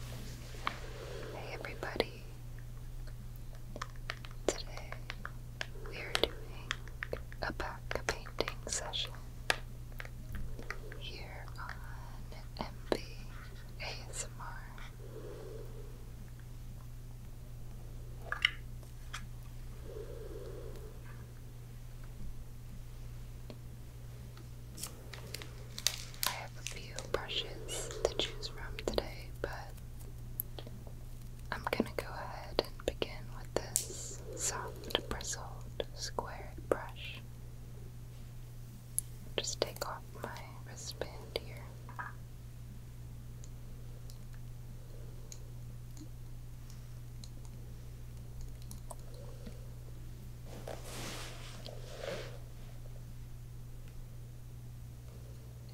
Hey everybody! Today we are doing a back painting session here on MB ASMR. I have a few brushes to choose from today, but I'm gonna go ahead and begin with this soft bristled square brush. Just take off my wristband here.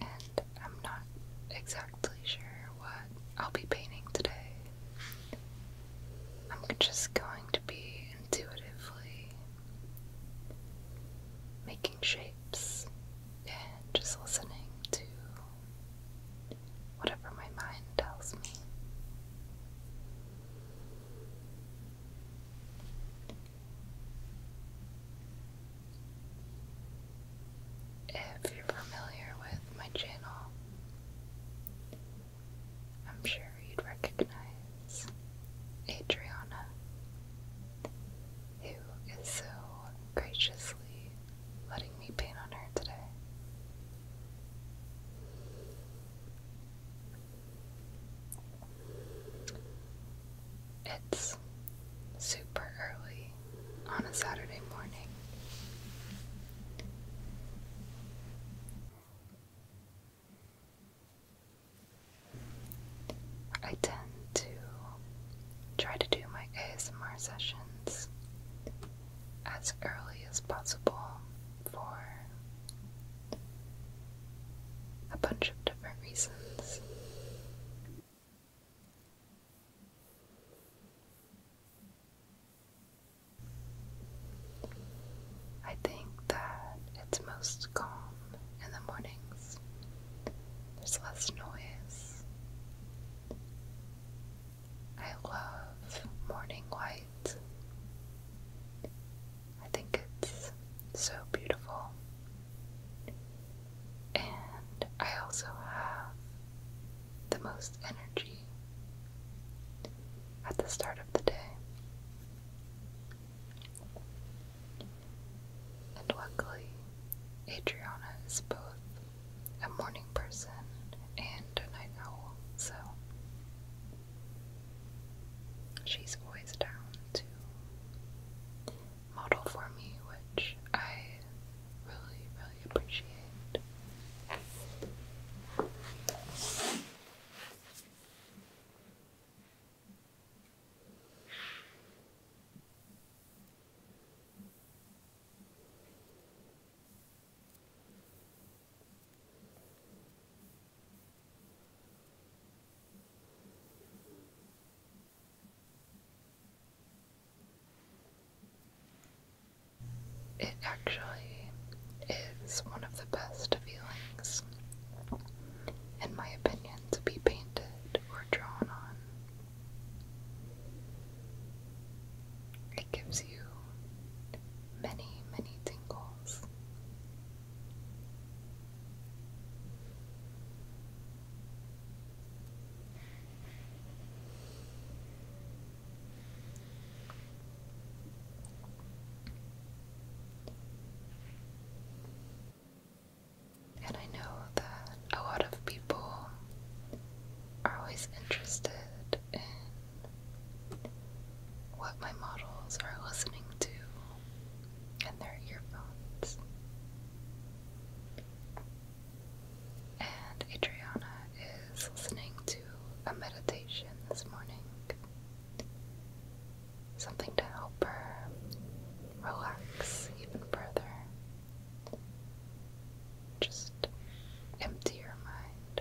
And I'm not exactly sure what I'll be painting today. I'm just going to be intuitively making shapes and just listening to whatever my mind tells me. If you're familiar with my channel, I'm sure you'd recognize Adriana, who is so graciously letting me paint on her today. It's super early on a Saturday morning. I tend to try to do my ASMR sessions as early as possible for a bunch of different reasons. I think that it's most calm in the mornings. There's less noise. I love morning light. I think it's so beautiful. And I also have the most energy at the start of the day. And luckily, Adriana is both a morning person and a night owl, so She's always down to model for me, which I really, really appreciate. It actually is one of the best feelings, in my opinion, to be painted or drawn on. It gives you many, many tingles. And I know that a lot of people are always interested in what my models are listening to and their earphones. And Adriana is listening to a meditation this morning. Something to help her relax even further. Just empty your mind.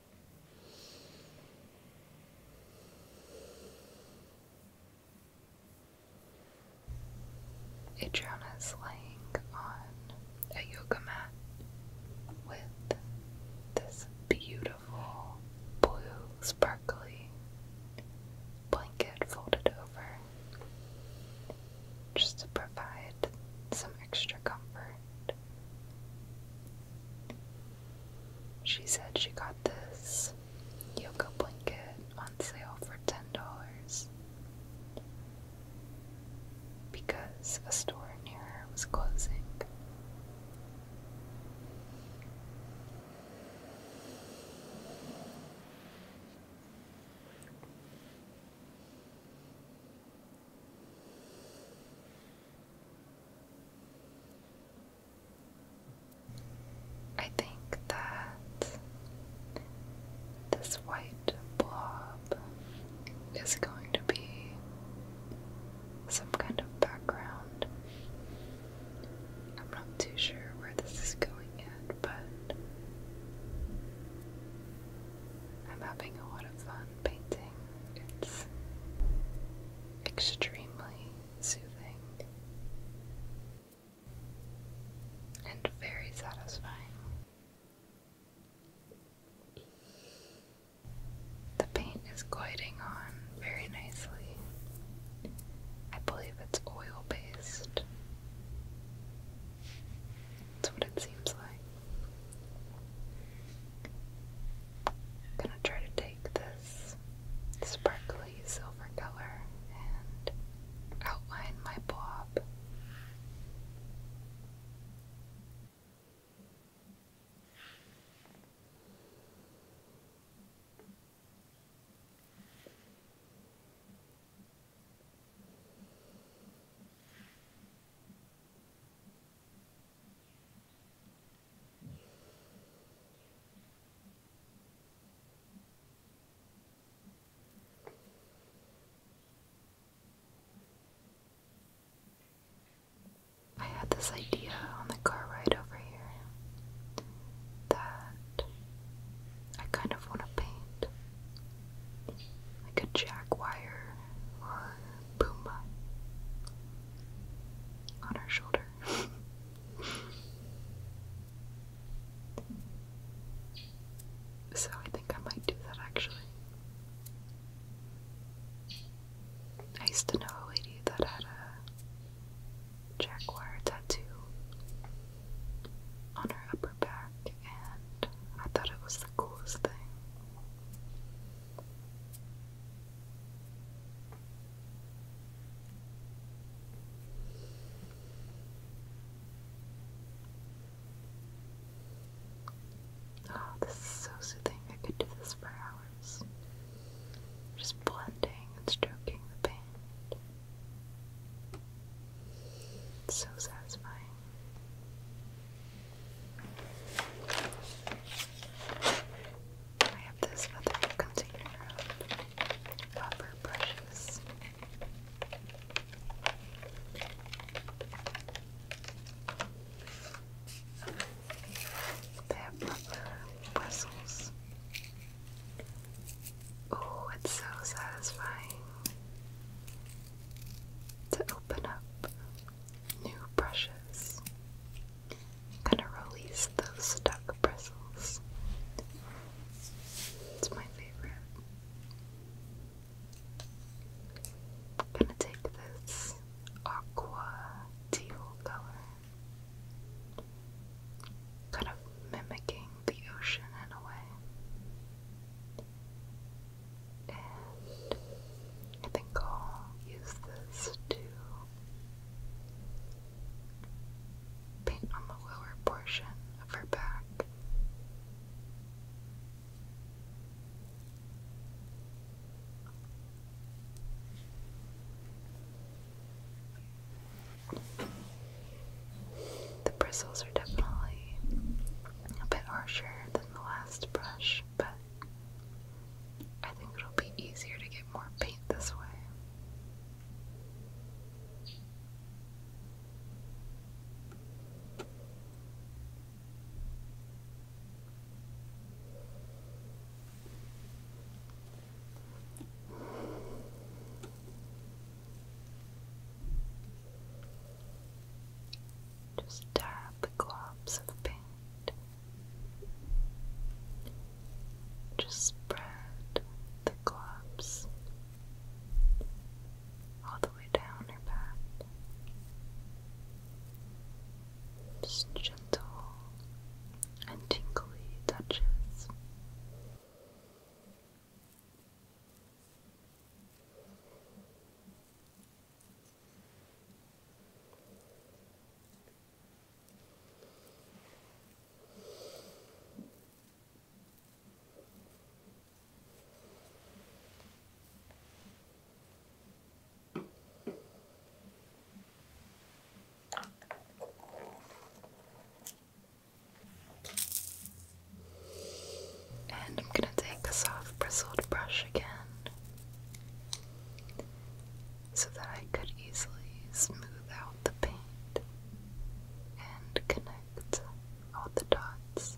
Adriana is laying on a yoga mat with this beautiful blue, sparkly blanket folded over just to provide some extra comfort. She said she got this yoga blanket on sale for $10 because a store near her was closing. I think that this white blob is going to be some kind of background. I'm not too sure where this is going yet, but I'm having a lot of fun painting it's extremely soothing and very satisfying. The paint is gliding on very nicely. I believe it's oil based. That's what it seems like. I'm gonna try to take this sparkly silver color and outline my blob. I had this idea on the car ride over here that I kind of want to paint like a jack Pumbaa on her shoulder. so I think I might do that actually. I used to know a lady that had a jaguar tattoo on her upper back, and I thought it was the coolest thing. Oh, this is so soothing. I could do this for hours. Just blending and stroking the paint. so satisfying. I have this other container of copper brushes. They have rubber bristles. Oh, it's so satisfying to open up new brushes. gonna release those stuck bristles. It's my favorite. gonna take this aqua teal color, kind of mimicking the ocean in a way. I think I'll use this to paint on the lower portion of her back. The bristles are definitely a bit harsher than the last brush but I think it'll be easier to get more paint this way. Just dab the globs of paint. Just spread the globs all the way down her back. Just gentle and tinkly touches. And I'm going to take a soft bristled brush again so that I could easily smooth out the paint and connect all the dots.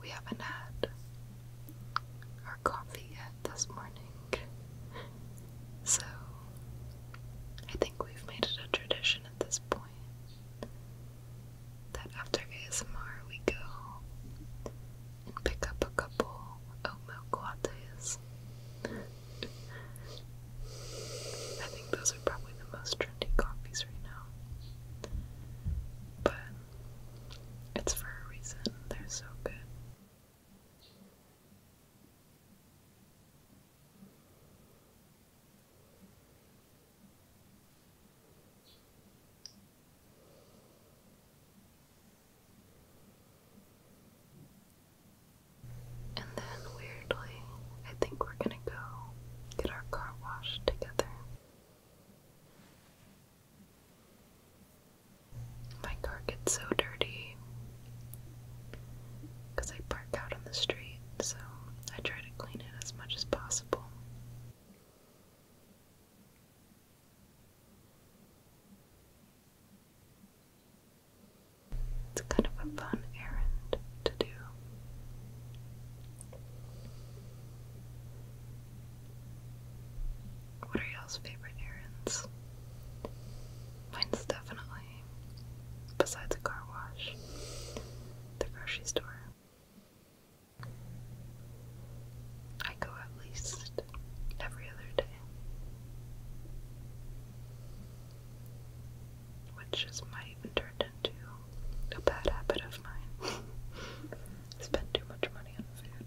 We haven't had our coffee yet this morning. So, I think we've made it a tradition at this point that after ASMR we go and pick up a couple oat milk I think those are probably the most trendy coffees right now. But it's for a reason, they're so good. And then, weirdly, I think we're gonna go get our car washed together. My car gets so dirty because I park out on the street, so I try to clean it as much as possible. It's kind of a fun errand to do. What are y'all's favorite errands? Mine's definitely, besides a car wash, the grocery store. I go at least every other day. Which just might even turn into a bad habit of mine. Spend too much money on food.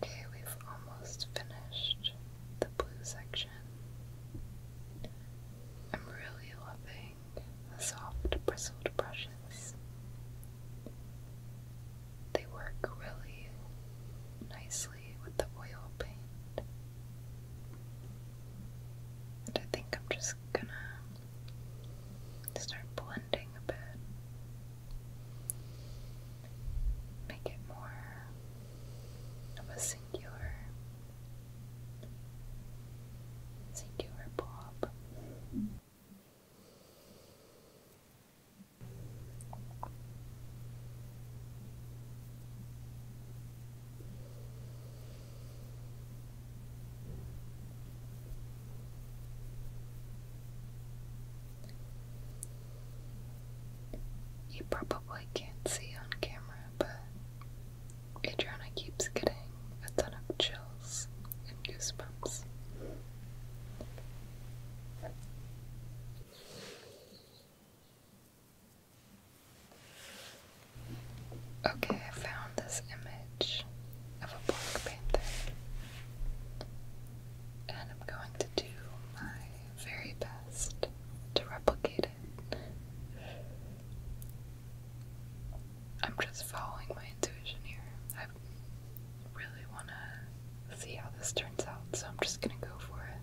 Okay, we've almost finished the blue section. I'm really loving the soft bristle brushes. They work really nicely with the oil paint. I think I'm just gonna start blending a bit. Make it more of a singular, singular blob. You probably can't see on camera, but Adriana keeps getting a ton of chills and goosebumps. Okay, I found this image of a Black Panther. And I'm going to do my very best to replicate it. I'm just following my intuition here. I really want to see how this turns out, so I'm just going to go for it.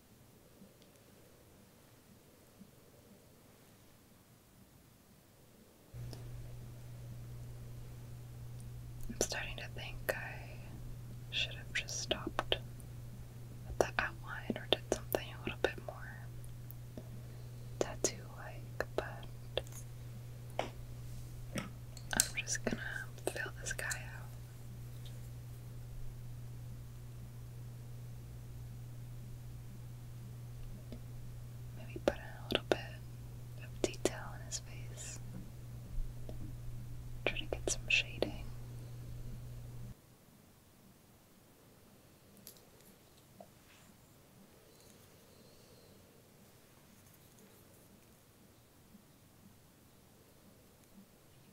I'm starting to think I should have just stopped the outline or did something a little bit more tattoo like, but I'm just gonna fill this guy out. Maybe put in a little bit of detail in his face. Try to get some shading.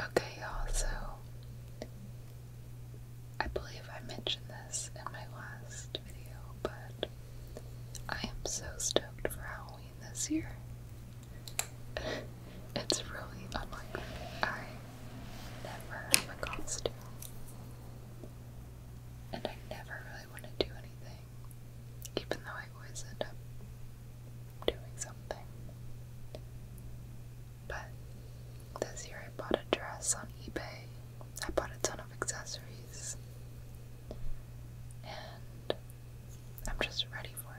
Okay, also, I believe I mentioned this in my last video, but I am so stoked for Halloween this year. it's really unlikely I never costume, and I never really want to do anything even though I always end up doing something. But this year I bought a dress on eBay. I bought a ton of accessories. And I'm just ready for it.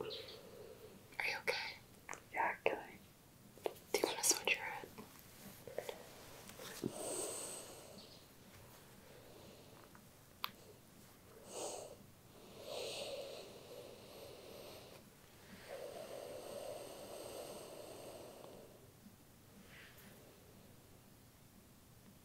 Are you okay? Yeah, can Do you want to switch your head?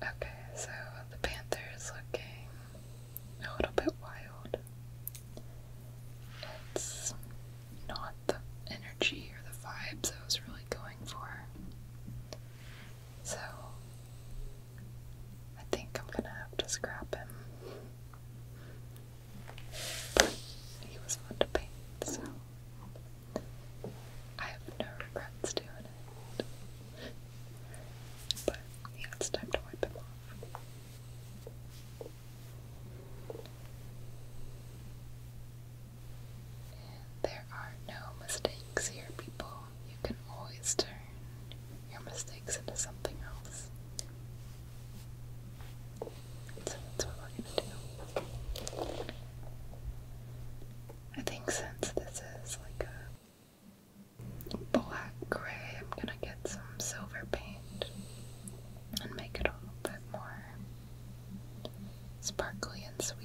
Okay, so the panther is looking a little bit wild. It's not the energy or the vibes I was really going for. So I think I'm gonna have to scrap him. he was fun to paint, so I have no regrets doing it. But yeah, it's time to wipe him off. There are no mistakes here, people. You can always turn your mistakes into something else. So that's what we're gonna do. I think since this is like a black gray, I'm gonna get some silver paint and make it a little bit more sparkly and sweet.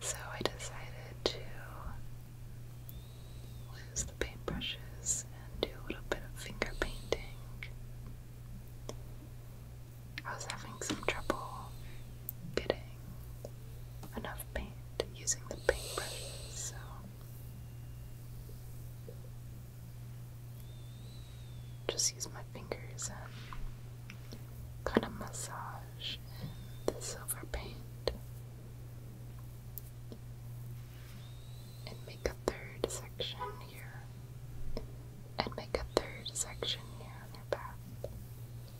So I decided to use the paintbrushes and do a little bit of finger painting. I was having some trouble getting enough paint using the paintbrushes, so just use my fingers and kind of massage in the silver paint and make a third section here and make a third section here on your path.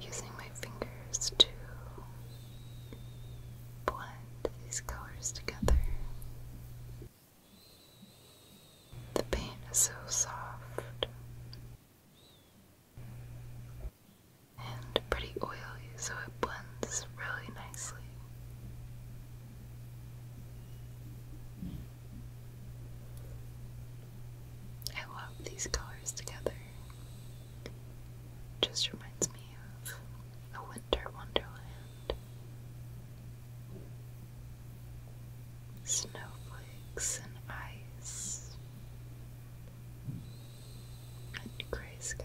Using my fingers to blend these colors together. The paint is so soft and pretty oily, so it blends really nicely. I love these colors together. Just reminds me of a winter wonderland. Snowflakes and ice and grey skies.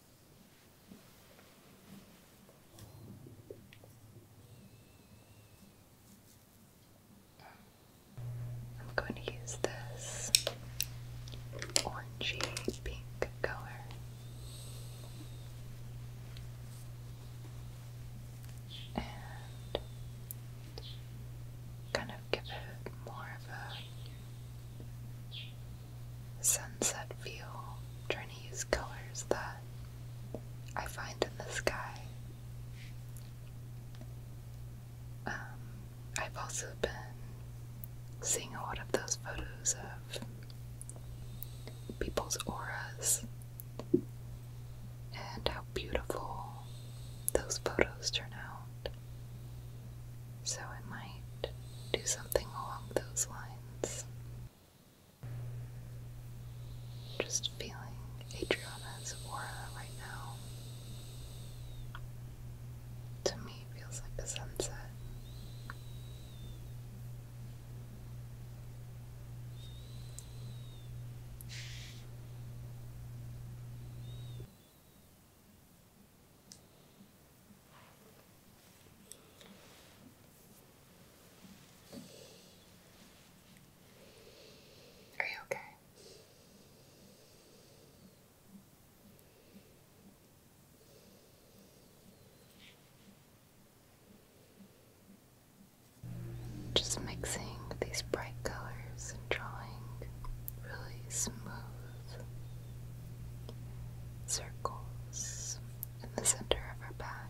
I'm going to use this orangey pink color. And kind of give it more of a sunset view, trying to use colors that I find in the sky. Um, I've also been seeing a lot of those photos of people's auras and how beautiful those photos turn out. So I might do something along those lines. Just feeling Adriana's aura right now. To me, feels like a sunset. Are you okay? Just mixing these bright colors and drawing really smooth circles in the center of her back.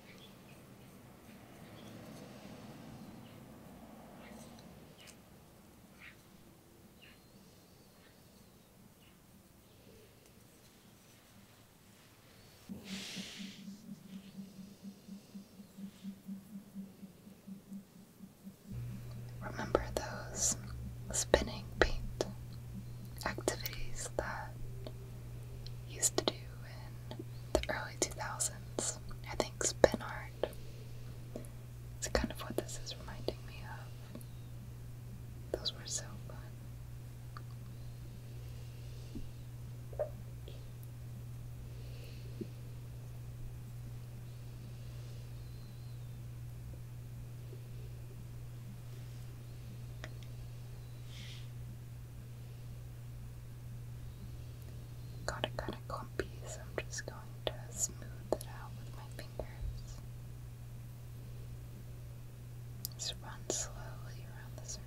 Remember those spinning paint activities that you used to do in the early 2000s. I think Spin Art. It's kind of what this is reminding me of. Those were so fun. Got it kind of clumpy, so I'm just going to smooth it out with my fingers. Just run slowly around the circle.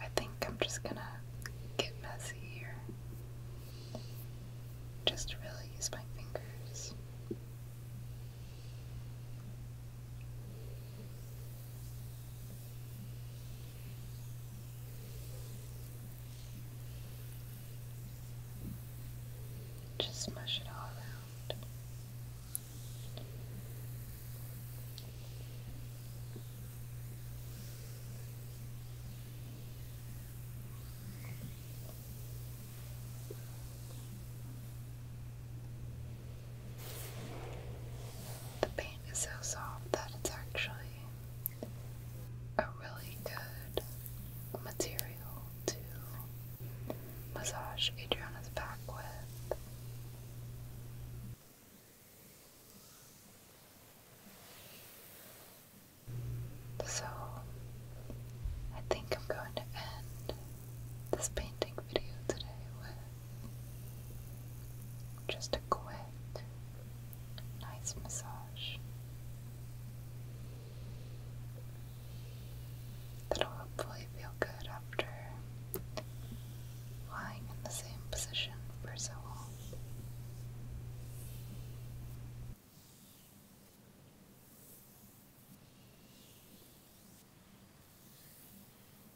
I think I'm just gonna get messy here. Just really use my fingers. Just mush it all around. The paint is so soft that it's actually a really good material to massage Adriana's back with. So, I think I'm going to end this painting video today with just a quick, nice massage that'll hopefully feel good after lying in the same position for so long.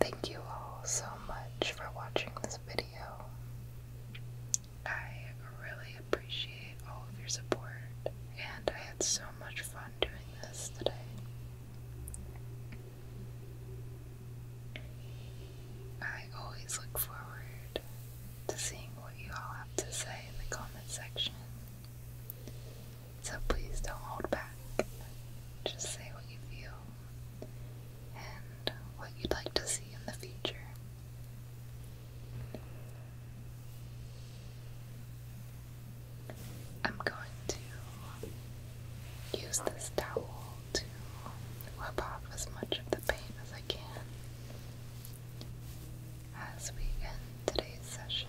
Thank you all so much for watching this video. I really appreciate all of your support, and I had so much fun doing this today. I always look forward to seeing what you all have to say in the comment section. So please don't hold back. Just say what you feel and what you'd like to see in the future. I'm going to use this towel to wipe off as much of the pain as I can as we end today's session.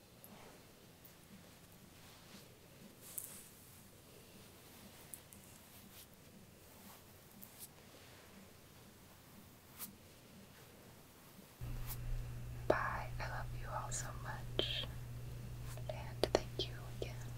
Bye. I love you all so much. And thank you again.